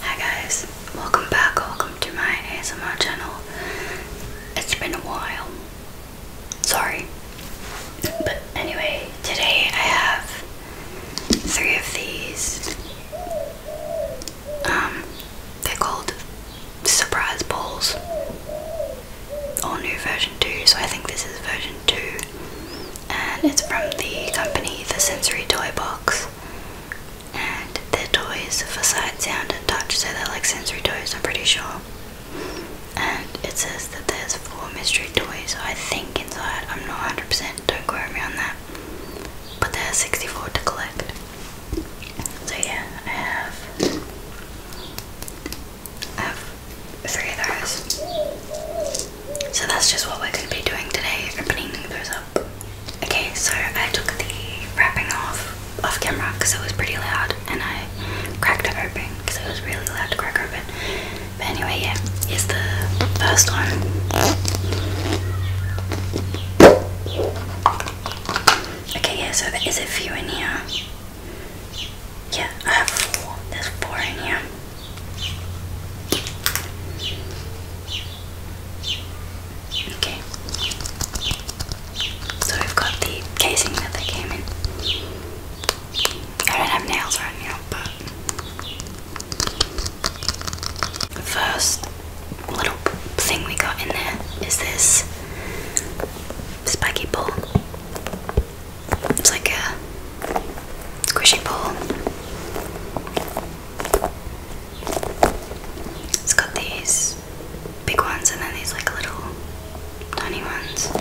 Hi guys, welcome back, welcome to my ASMR channel. It's been a while. Sorry. But anyway, today I have three of these. Um, they're called Surprise Balls. All new version 2, so I think this is version 2. And it's from the company The Sensory Toy Box and they toys for sight, sound, and touch, so they're like sensory toys, I'm pretty sure. And it says that there's four mystery toys, I think, inside. I'm not 100%, don't quote me on that. But there's 64 to collect. So, yeah, I have. I have three of those. So, that's just what we're going to be doing today opening those Okay, so I took the wrapping off off camera because it was pretty loud, and I cracked it open because it was really loud to crack open. But anyway, yeah, it's the first one. Okay, yeah, so there is a you in here. Yeah, I have four. There's four in here. Okay. So we've got the casing that they came in. I don't have nails right now, but first little thing we got in there is this spiky ball. It's like a squishy ball. It's got these big ones and then these like little tiny ones.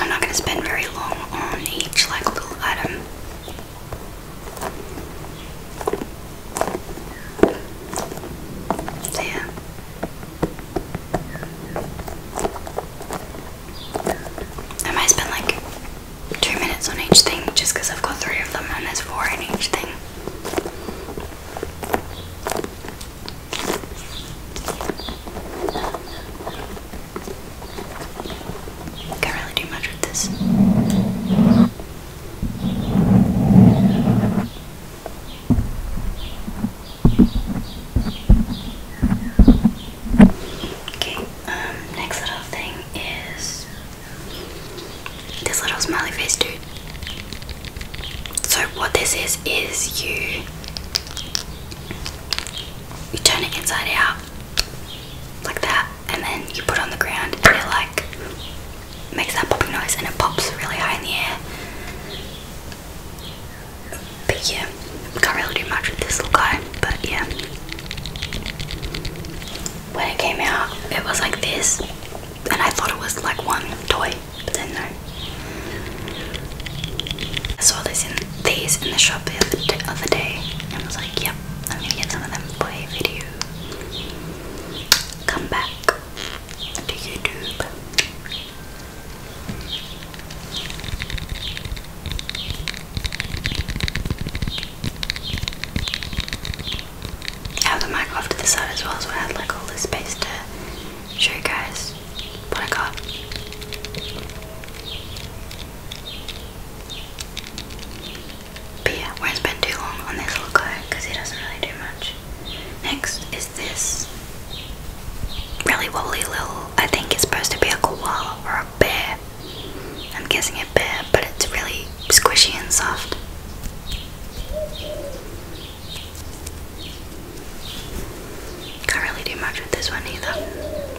I'm not gonna spend very long on each like little item. So I might spend like two minutes on each thing just I've got three of them and there's four in each thing. Can't really do much with this. Okay, um, next little thing is this little smiley face dude. So what this is is you you turn it inside out like that and then you put it on the ground and it like makes that popping noise and it pops really high in the air. But yeah, can't really do much with this little guy, but yeah. When it came out, it was like this, and I thought it was like one toy, but then no. I saw this in, these in the shop the other, day, and I was like, yep, I'm gonna get some of them for a video. Come back to YouTube. have the mic off to the side as well, so I had like all this space to show you guys what I got. But yeah, won't spend too long on this little guy because he doesn't really do much. Next is this really wobbly little, I think it's supposed to be a koala or a bear. I'm guessing a bear, but it's really squishy and soft. Can't really do much with this one either.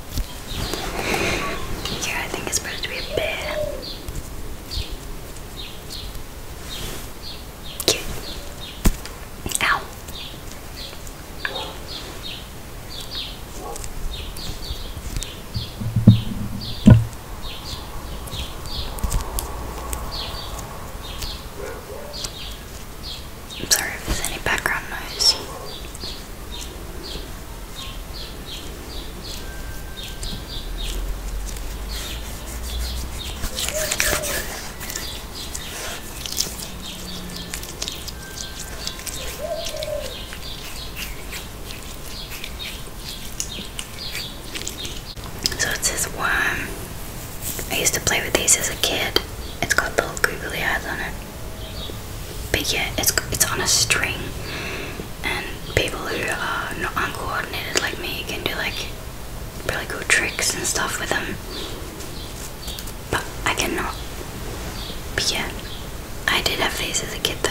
Here, I think it's supposed to be a bear. Ow. sorry if there's any background noise. So it's this worm. I used to play with these as a kid. It's got little googly eyes on it but yeah, it's it's on a string, and people who are not uncoordinated like me can do like really cool tricks and stuff with them. But I cannot. But yeah, I did have phases as a kid though.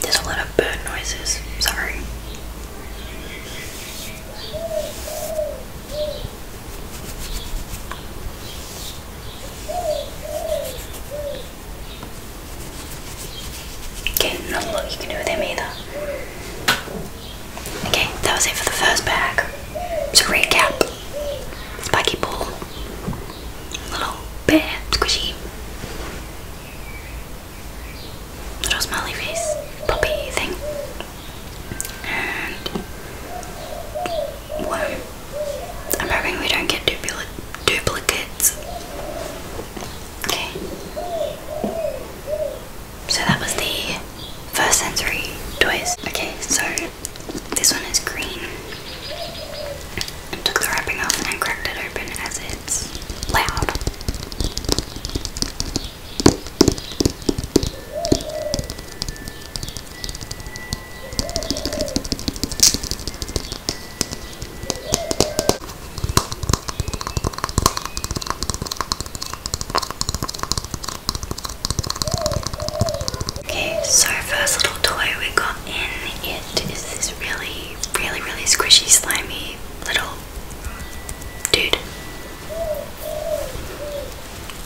There's a lot of bird noises, sorry. Okay, not a lot you can do with them either. Okay, that was it for the first bag. To recap, spiky ball, little bit squishy. Little smiley face puppy thing. And one. I'm hoping we don't get dupli duplicates. Okay. So that was the first sensory toys. Okay, so this one is green. took the wrapping off and cracked it open as it's loud. Okay, so first little toy we got in it is this really, really, really squishy, slimy little dude.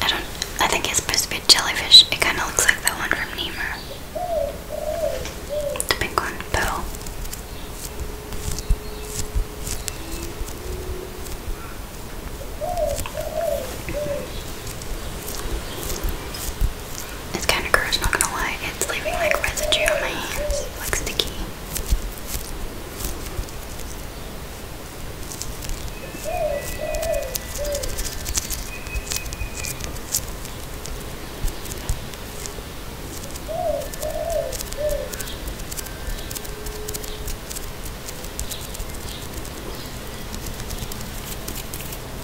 I don't, I think it's supposed to be a jellyfish. It kind of looks like that one from Nemo. The pink one, Pearl. It's kind of gross, not gonna lie. It's leaving like residue on my hands, like sticky.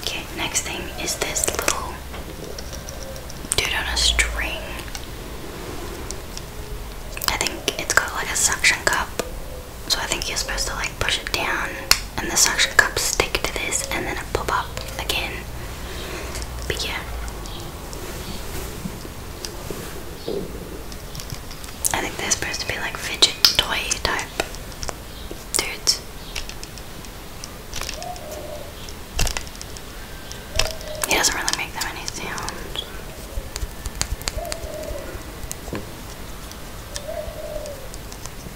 Okay, next thing is this little dude on a string. I think it's got like a suction cup, so I think you're supposed to like push it down and the suction cups stick to this and then it pop up again. But yeah. I think they're supposed to be like fidget toy type dudes. He doesn't really make them any sound.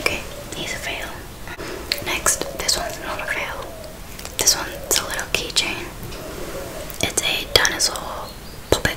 Okay, he's a fail. Next, this one's not a fail. This one's a little keychain. It's a dinosaur puppet.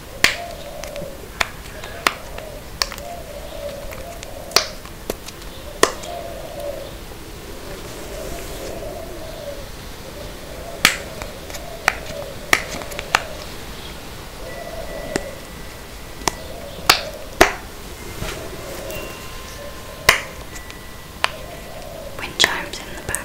Wind chimes in the back.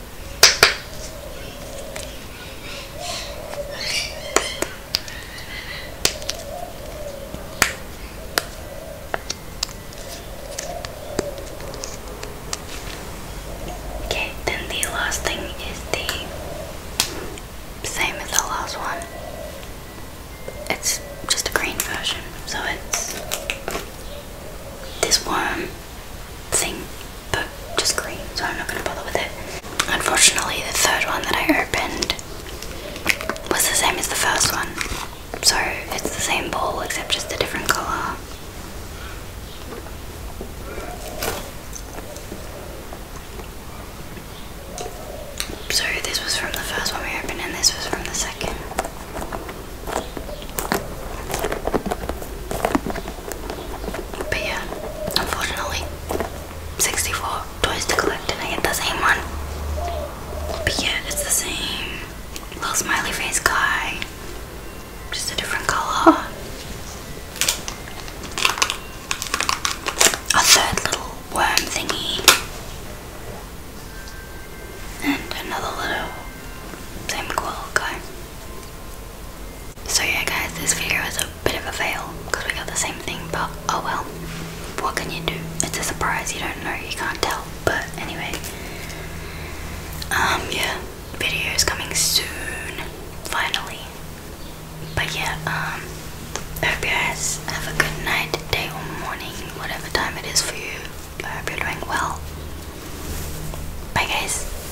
Okay, then the last thing is the same as the last one. It's just a green version, so it's this one thing, but just green, so I'm not going to bother with it. Unfortunately, the third one that I opened was the same as the first one, so it's the same ball except just a different colour. Sorry, this was from the first one we opened and this was from the second. But yeah, unfortunately, 64 toys to collect and I get the same one. But yeah, it's the same little smiley face guy, just a different color. A third little worm thingy. And another little same cool guy. So yeah guys, this video is a bit of a fail because we got the same thing but oh well. What can you do? It's a surprise, you don't know, you can't tell. But anyway. Um yeah, video is coming soon. Finally. But yeah, um I hope you guys have a good night, day or morning, whatever time it is for you. I hope you're doing well. Bye guys.